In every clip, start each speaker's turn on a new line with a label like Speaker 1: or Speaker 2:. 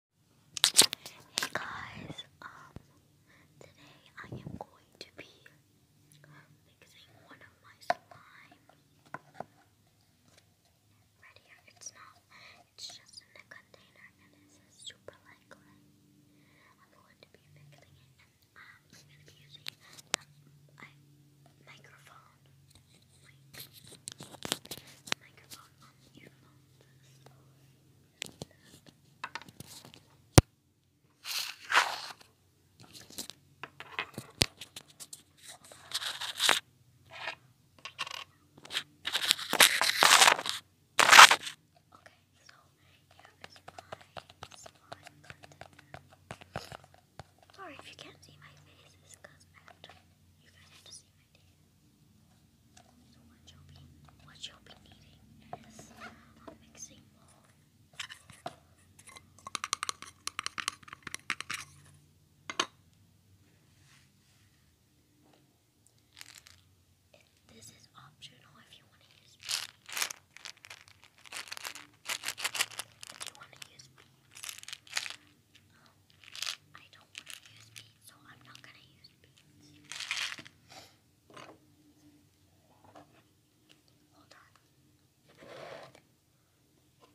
Speaker 1: Hey guys, um, today I am going to be fixing one of my slime. Right here, it's not, it's just in a container and it says super light clay. I'm going to be fixing it and I'm um, going to be using the microphone you know Okay, so here is my slime container. Sorry if you can't see my face, because you guys have to see what you'll be, needing is a mixing bowl. this is optional if you want to use beads. If you want to use beads, um, I don't use beads, so I'm not going to use beads. Hold on. I'm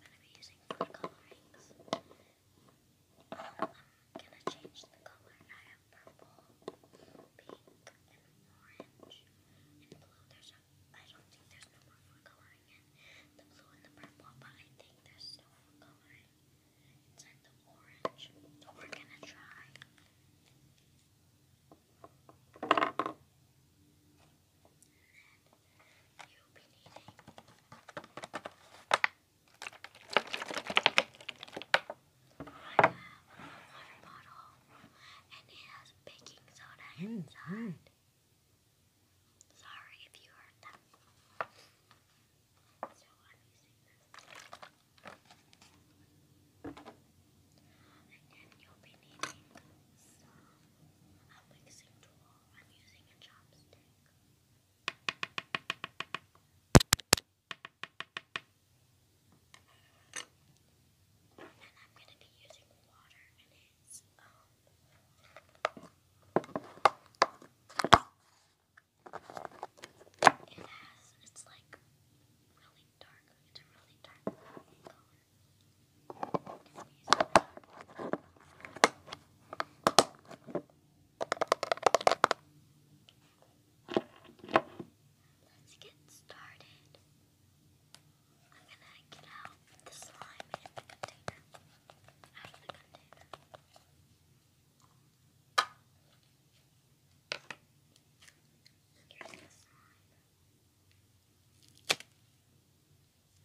Speaker 1: going to be using food colorings. I'm going to change the color. I have purple, pink, and orange, and blue. There's a, I don't think there's no more food coloring the blue and the purple, but I think there's still food coloring. It's the orange. So we're gonna try. And you'll be needing I have a water bottle and it has baking soda mm-hmm. inside. Sorry if you heard that. So you'll be needing some mixing tool. I'm using a chopstick. And I'm going to be using water in its um, it has, it's like really dark, it's a really dark color. Let's get started. I'm gonna get out the slime in the container. Here's the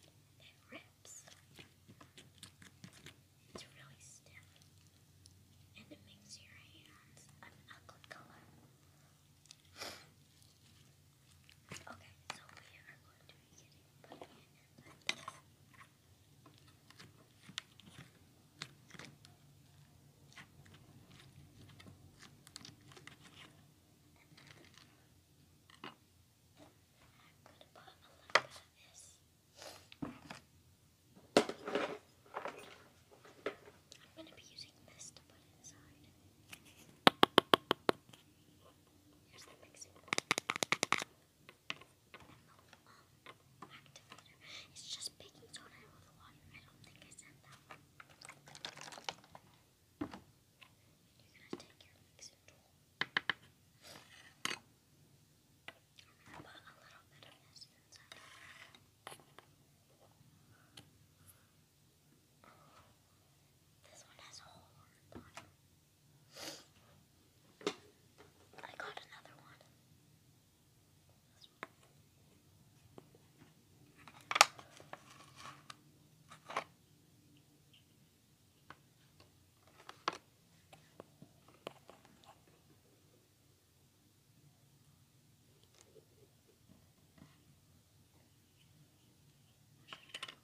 Speaker 1: It rips. It's really stiff. And it makes your hands an ugly color. Okay, so we are going to be getting putting in I'm going to be using this to put inside. Here's the mixing bowl um, It's just baking soda with water. I don't think I said that You're gonna take your mixing tool. i a little bit of this inside. This one has a whole lot on it. I got another one.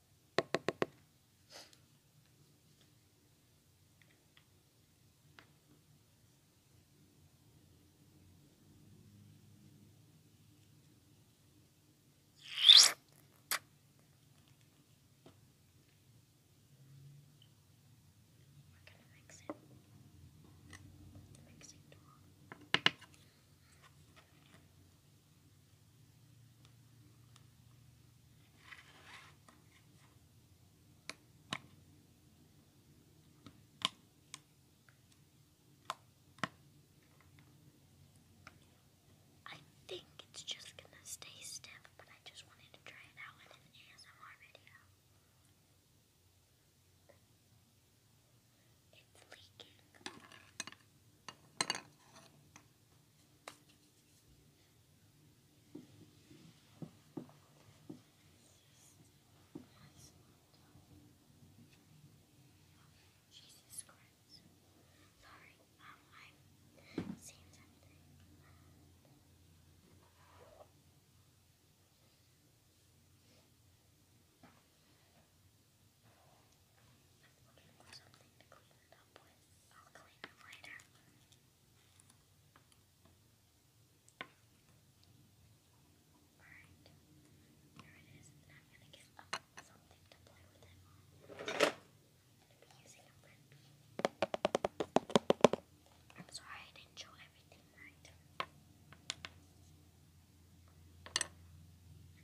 Speaker 1: mix it with the mixing tool. I think it's just gonna stay stiff, but I just wanted to try it out in an ASMR video. It's leaking. Jesus Christ. Sorry, um, I've seen something. I'm looking for something to clean it up with. I'll clean it later. Alright, there it is, I'm gonna get something to play with it on. I'm gonna be using a red I'm sorry I didn't show everything right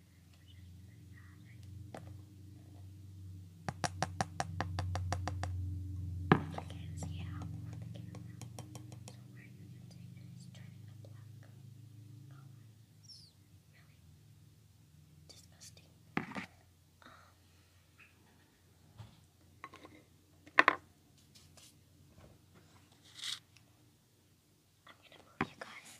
Speaker 1: can't see it out on the where you're going to take it is turning the black disgusting. I'm gonna move you guys.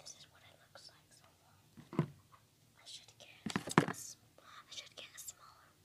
Speaker 1: This is what it looks like I should get a, I should get a smaller one.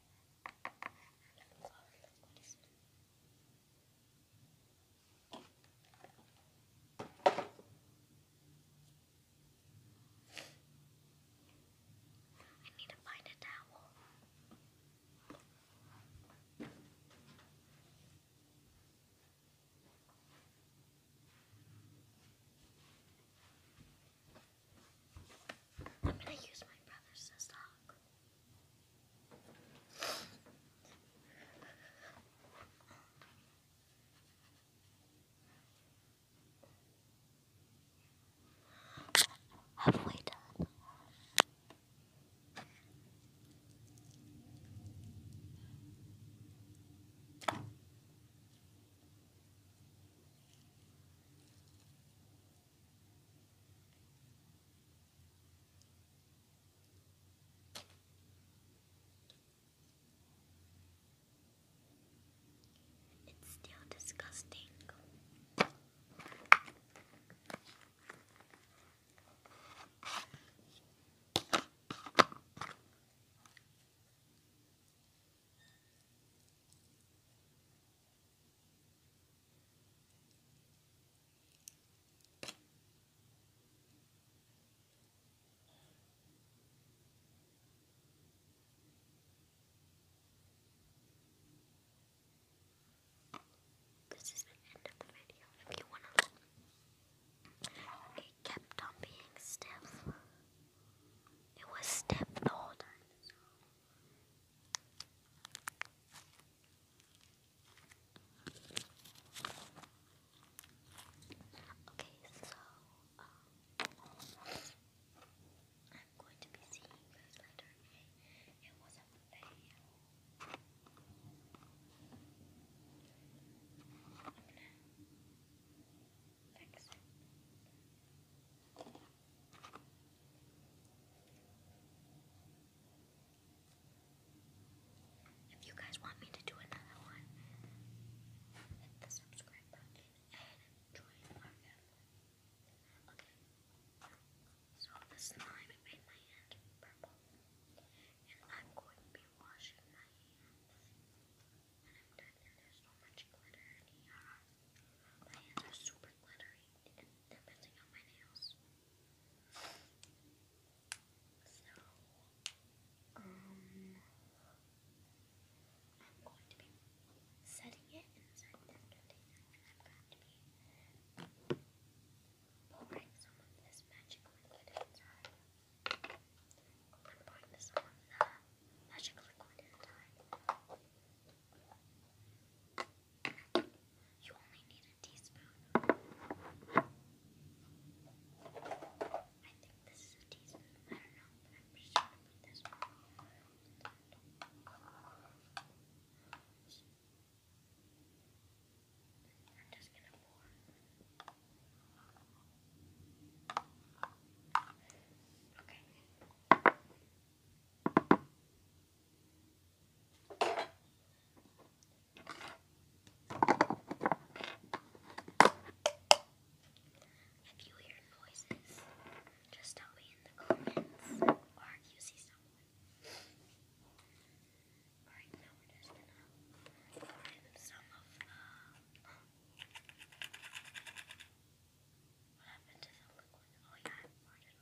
Speaker 1: I need to find a towel. I'm going to use my brother's stock. Have we done? It's still disgusting. This is the end of the video. If you wanna, it kept on being stiff. It was stiff the whole time. Okay, so um, I'm going to be seeing you guys later. It was a fail. I'm gonna fix it. If you guys want me to do another one, hit the subscribe button and join our family. Okay. So the slime made my hand purple. And I'm going to be washing my hands. And I'm done there's so much glitter in here. My hands are super for glittering and depending on my nails. So, um, I'm going to be setting it inside I'm going to be pouring some of this magic liquid inside. I'm pouring this on the uh, magic liquid inside. You only need a teaspoon. I think this is a teaspoon. I don't know, but I'm just gonna put this one. I'm Okay. If you hear noises, just tell me in the comments or if you see someone. Alright, now we're just gonna pour some of the. Uh, what happened to the liquid? Oh, yeah,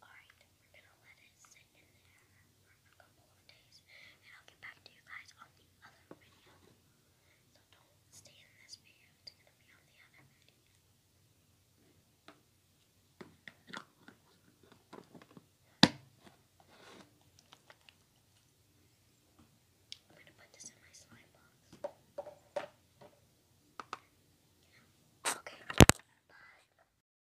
Speaker 1: Alright, we're gonna let it sit in there for a couple of days, and I'll get back to you guys on the other video. So don't stay in this video, it's gonna be on the other video. I'm gonna put this in my slime box. Okay, bye.